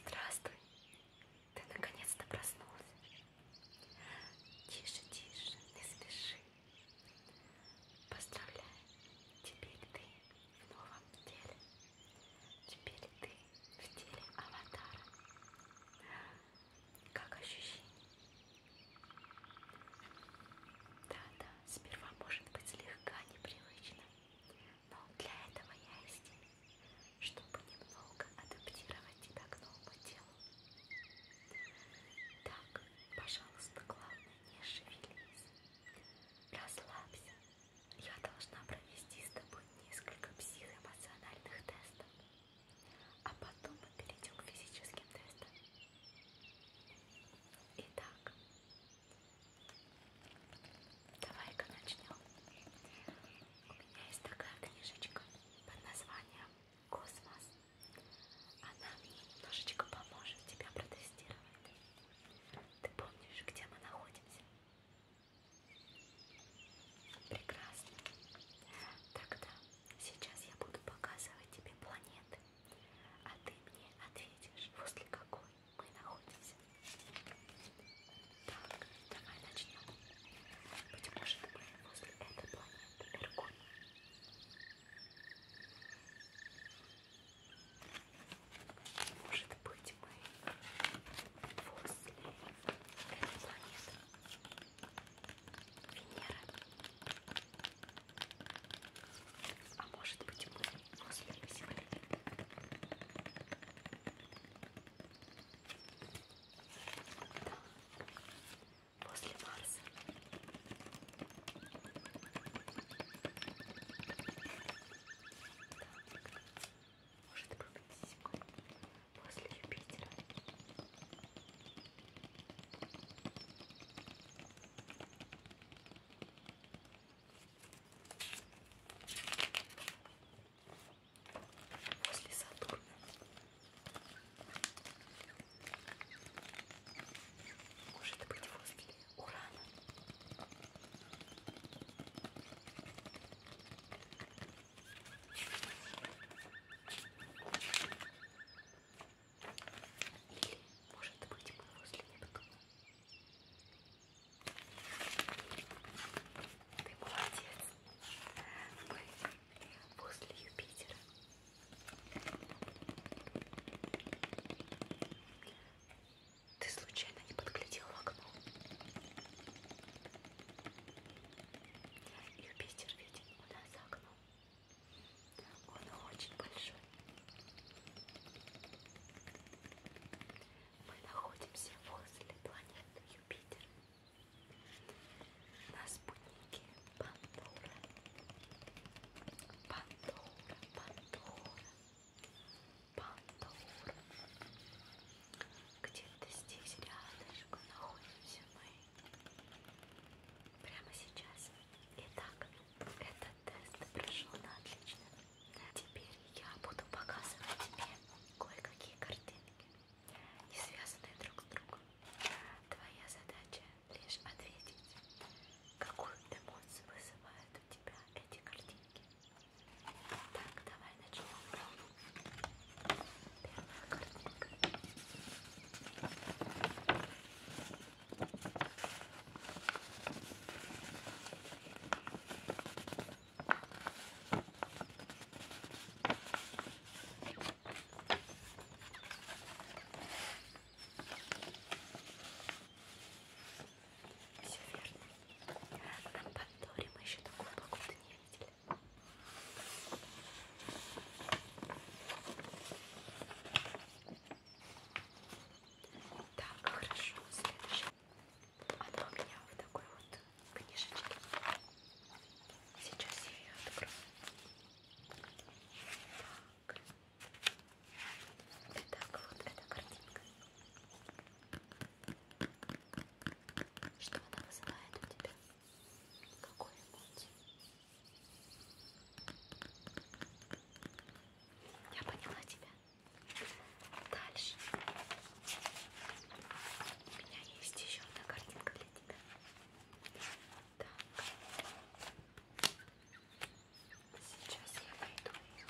Здравствуй, ты наконец-то проснулся. Тише, тише, не спеши. Поздравляю, теперь ты в новом теле. Теперь ты в теле аватара. Как ощущение? Да-да, сперва может быть слегка непривычно, но для этого я и здесь, чтобы немного адаптировать тебя к новому телу. Так, пожалуйста, главное, не шевелись. Расслабься. Я должна провести с тобой несколько психоэмоциональных тестов. А потом мы перейдем к физическим тестам. Итак, давай-ка начнем. У меня есть такая книжечка под названием «Космос». Она мне немножечко поможет тебя протестировать. Ты помнишь, где мы находимся? Прекрасно. Тогда сейчас я буду показывать тебе планеты, а ты мне ответишь, возле какой мы находимся. Так, давай начнем. Быть может, мы возле этой планеты Эргон. Может быть, мы после этой планеты Венера. А может быть мы Господи, сегодня. После Марса. Так может пробудить после Юпитера. После Сатурна. Может быть возле Урана. Или, может быть, мы возле нептуна. Ты молодец. Мы возле Юпитера. Ты случайно не подглядел в окно? Юпитер виден у нас за окном. Он очень большой. Мы находимся возле планеты Юпитер. На спутнике Пандора. Пандора, Пандора, Пандора. Где-то здесь рядышком находимся мы прямо сейчас. Итак, этот тест прошел на отлично. Теперь я буду показывать тебе кое-какие картинки, не связанные друг с другом. Твоя задача лишь ответить, какую эмоцию вызывают у тебя эти картинки. Так, давай начнем. Все верно. Нам поддорим еще такую погоду не так, хорошо, следующая. Она у меня в такой вот книжечке. Сейчас я ее открою. Так. Итак, вот эта картинка. Что она вызывает у тебя? какой-нибудь. Я поняла тебя. Дальше. У меня есть еще одна картинка для тебя. Так. Сейчас я найду ее.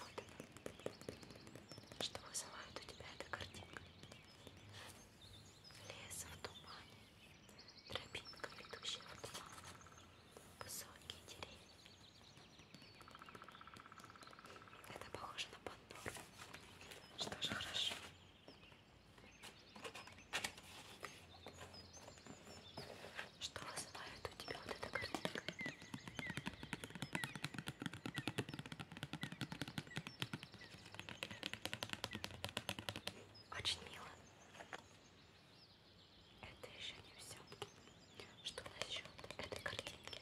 Вот. Что вызывает у тебя эта картинка? Леса в тумане, тропинка, ведущая в туман, высокие деревья. Это похоже на Пандору. Что же хорошо. Что вызывает у тебя вот эта картинка? Очень мило. Это еще не все. Что насчет этой картинки?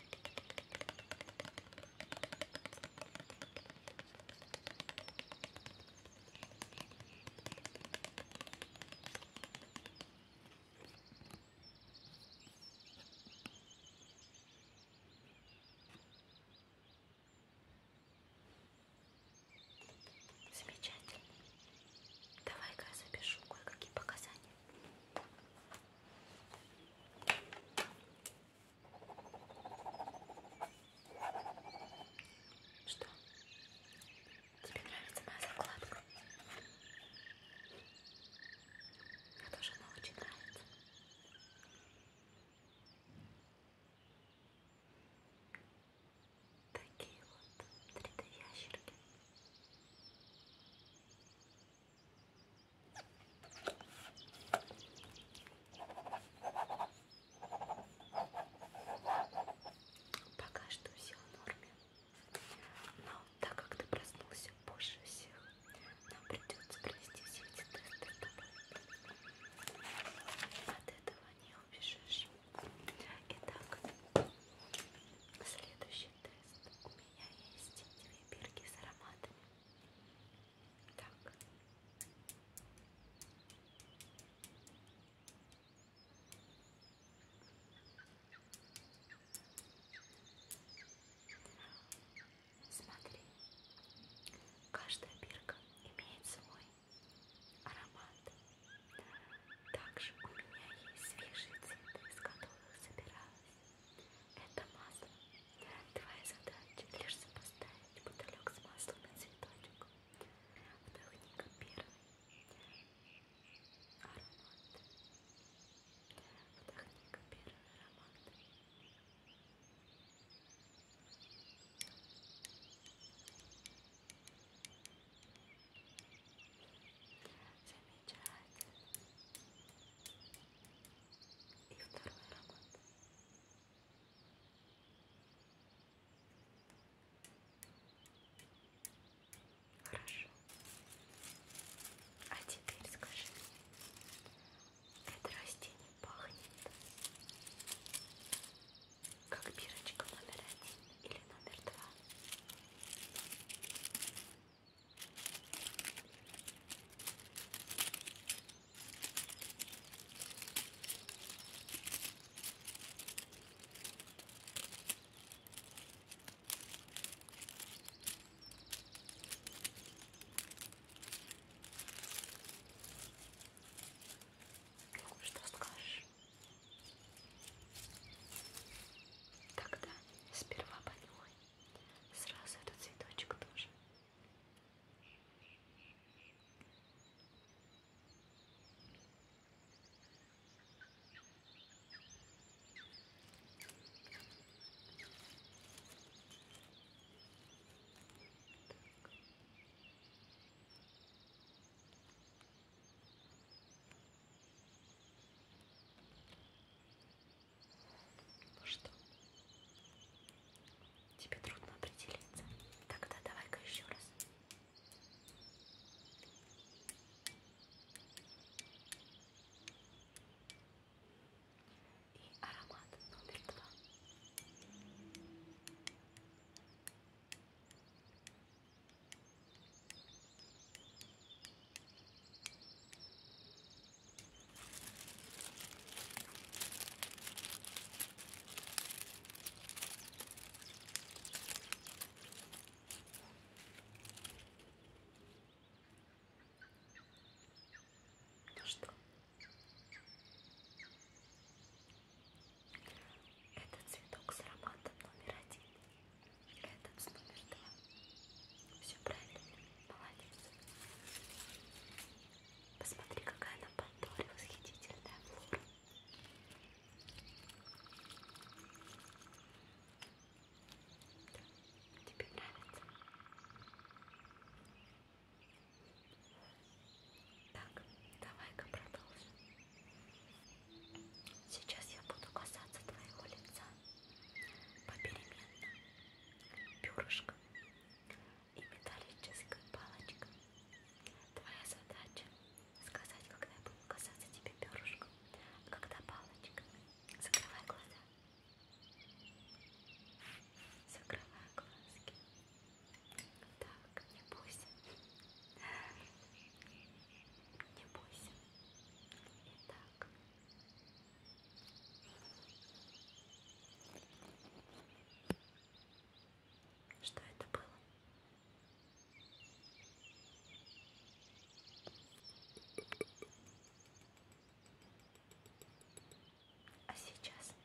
Замечательно. Давай-ка я запишу кое-какие показания. Что? Тебе нравится моя закладка? Мне тоже она очень нравится. Такие вот 3D ящерки. Пока что все в норме. Но так как ты проснулся позже всех, нам придется провести все эти тесты с тобой. От этого не убежишь. Итак, следующий тест. У меня есть две бирки с ароматами. Так. Смотри, каждая бирка имеет свой аромат. Также у меня есть свежие цветы, из которых собиралась. Это масло. Твоя задача лишь сопоставить бутылек с маслом и цветочек. Вдохни-ка первый аромат. Вдохни-ка первый аромат. Замечательно. И второй аромат. Замечательно. Хорошо. А теперь скажи мне, это растение пахнет как бирочка номер один или номер два? Что скажешь? Тогда сперва понимай. Сразу этот цветочек тоже. Ну что? Тебе трудно определиться. Тогда давай-ка еще раз. И аромат номер два. Ну что? Этот цветок с ароматом номер один. Этот с номер два. Все правильно. Молодец. Посмотри, какая на Пандоре восхитительная флора. Да, тебе нравится? Так, давай-ка продолжим. Сейчас я буду касаться твоего лица попеременно перышком и металлическая палочка. Твоя задача сказать, когда я буду касаться тебе перышком, а когда палочка. Закрывай глаза. Закрывай глазки. Так, не бойся. Не бойся. Итак. Что это было? А сейчас? Так.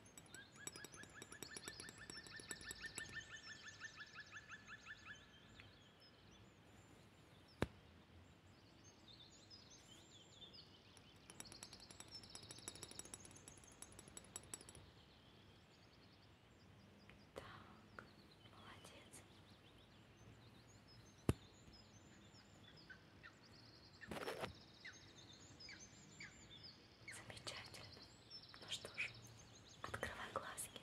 Так, молодец. Замечательно. Ну что ж, открывай глазки.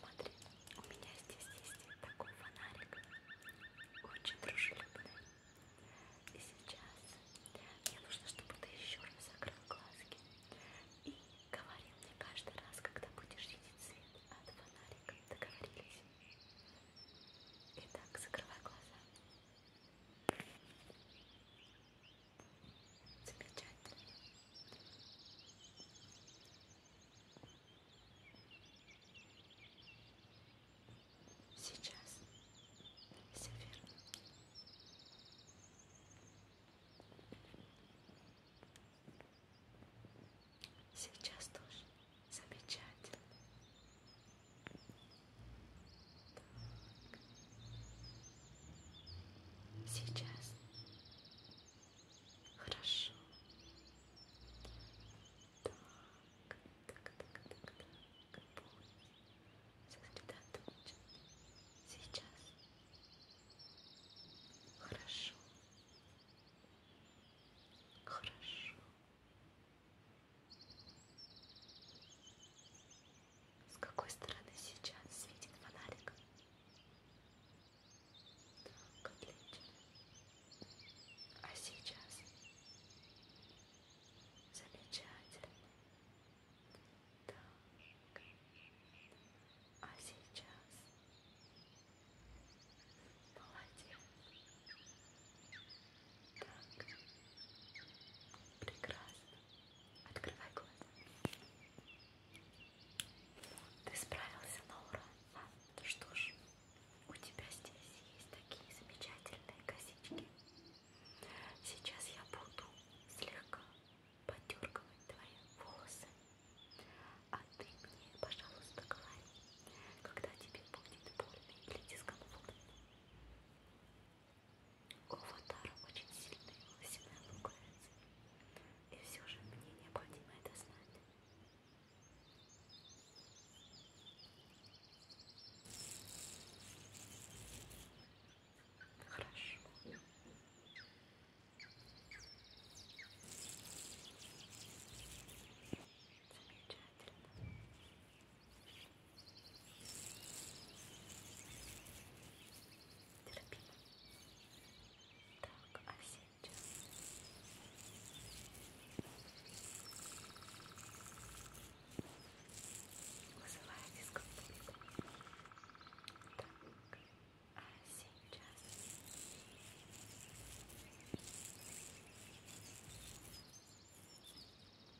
Смотри, у меня здесь есть такой фонарик. Очень дружелюбный. И сейчас мне нужно, чтобы ты еще раз закрыл глазки. И говори мне каждый раз, когда будешь видеть свет от фонарика. Договорились? Итак, закрывай глаза. Замечательно. Сейчас все верно. Сейчас тоже замечательно. Так. Сейчас. Хорошо. Так, так, так, так, так. Будь сосредоточен. Сейчас. Хорошо. Хорошо. С какой стороны сейчас светит фонарик? Так, отлично. А сейчас? Замечательно. Так. А сейчас? Молодец. Так. Прекрасно. Открывай глаза. Ты справился на ура. Ну что ж, у тебя здесь есть такие замечательные косички. Сейчас я буду слегка подергивать твои волосы. А ты мне, пожалуйста, говори, когда тебе будет больно или дискомфортно. У аватара очень сильные волосяные луковицы. И все же мне необходимо это знать. Хорошо. Замечательно. Терпимо. Так, а сейчас... Вызывая дискомфорт. Так, а сейчас... Так, а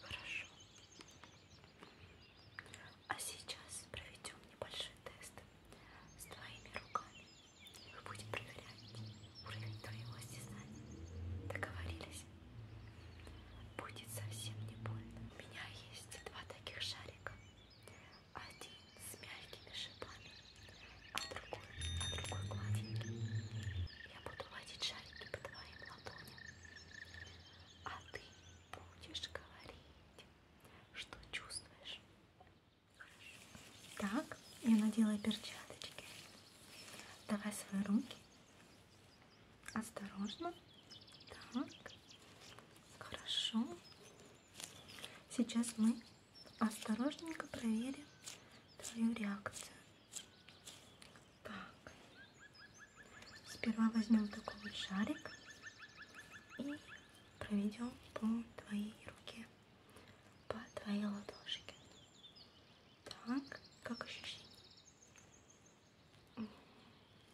Хорошо. А сейчас проведем небольшой тест с твоими руками. Мы будем проверять уровень твоего осязания. Договорились? Будет совсем не больно. У меня есть два таких шарика. Один с мягкими шипами, а в другой, на другой клавиатуре я буду водить шарики по твоим ладоням, а ты будешь говорить, что чувствуешь. Так, я надела перчаточки. Давай свои руки. Осторожно. Так. Хорошо. Сейчас мы осторожненько проверим твою реакцию. Так. Сперва возьмем такой вот шарик и проведем по твоей руке, по твоей ладошке. Так, как ощущение?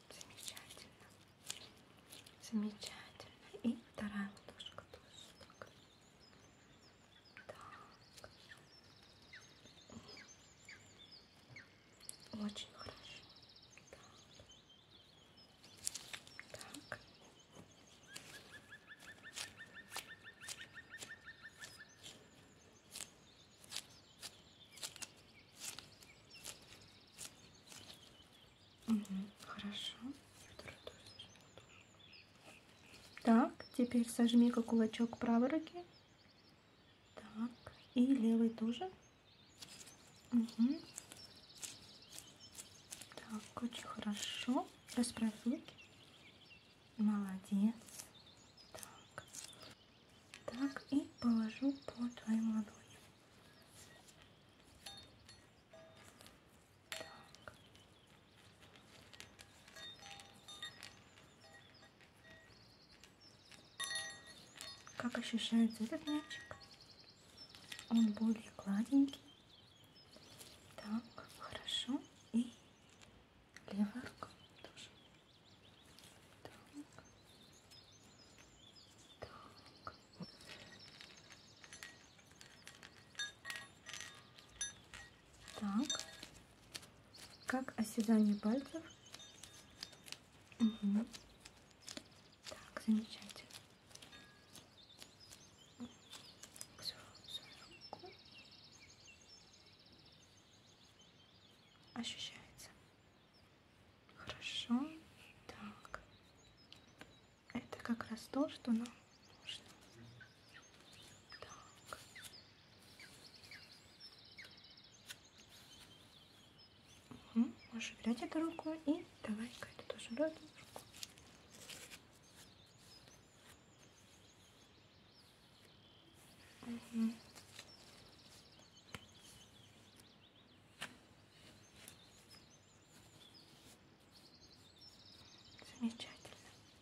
Замечательно. Замечательно. И вторая ладошка тоже. Так. Так. Очень хорошо. Так. Так. Угу, хорошо. Второй тоже. Так, теперь сожми-ка кулачок правой руки. Так, и левый тоже. Угу. Так, очень хорошо. Расправь руки. Молодец. Так. Так, и положу по твоим ладоням. Так. Как ощущается этот мячик? Он более гладенький. Так, хорошо. И левая рука тоже. Так. Так. Так. Как оседание пальцев. Угу. Так, замечательно. Все, все Ощущается. Хорошо. Так. Это как раз то, что нам Угу. Можешь взять эту руку и давай-ка это тоже эту руку. Угу. Замечательно.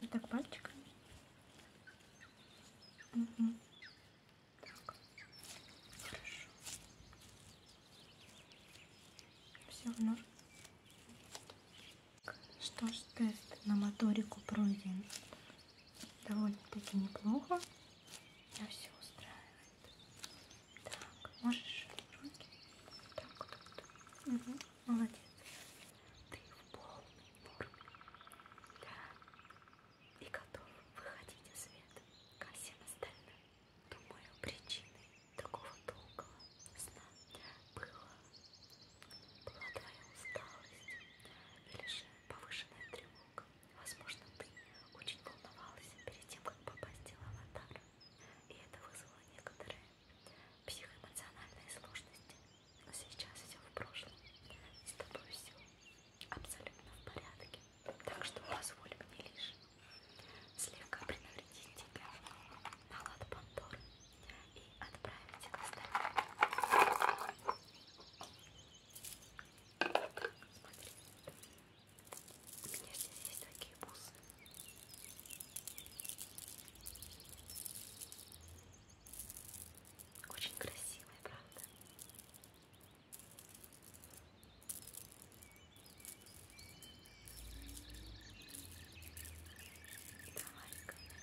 Вот так пальчиками. Угу. Так. Хорошо. Все в норме. Ну. Что ж, тест на моторику пройден довольно-таки неплохо. На все устраивает. Так, можешь руки. Так, вот. Угу. Молодец. Ты в полной форме. Да. И готов выходить из света, ко всем остальным. Думаю, причиной такого долгого сна было, была твоя усталость или же повышенная тревога. Возможно, ты очень волновался перед тем, как попасть в аватар. И это вызвало некоторое психоэмоциональные сложности. Но сейчас все в прошлом. С тобой все абсолютно в порядке. Так что позволь мне лишь слегка принавредить тебя на лад Пандоры и отправить к остальным. Смотри, у меня здесь есть такие бусы. Очень красивая, правда? Это маленькая на тебя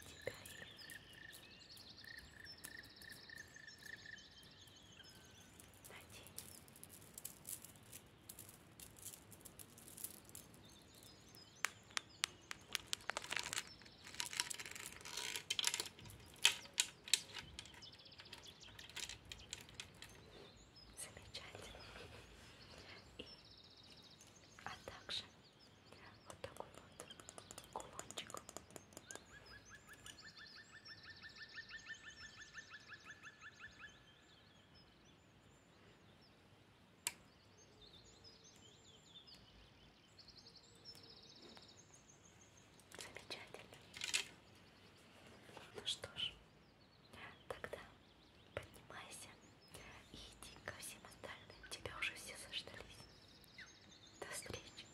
и надень. Замечательно. И, а также вот такой вот кулончик. Замечательно. Ну что ж, тогда поднимайся и иди ко всем остальным. Тебя уже все заждались. До встречи.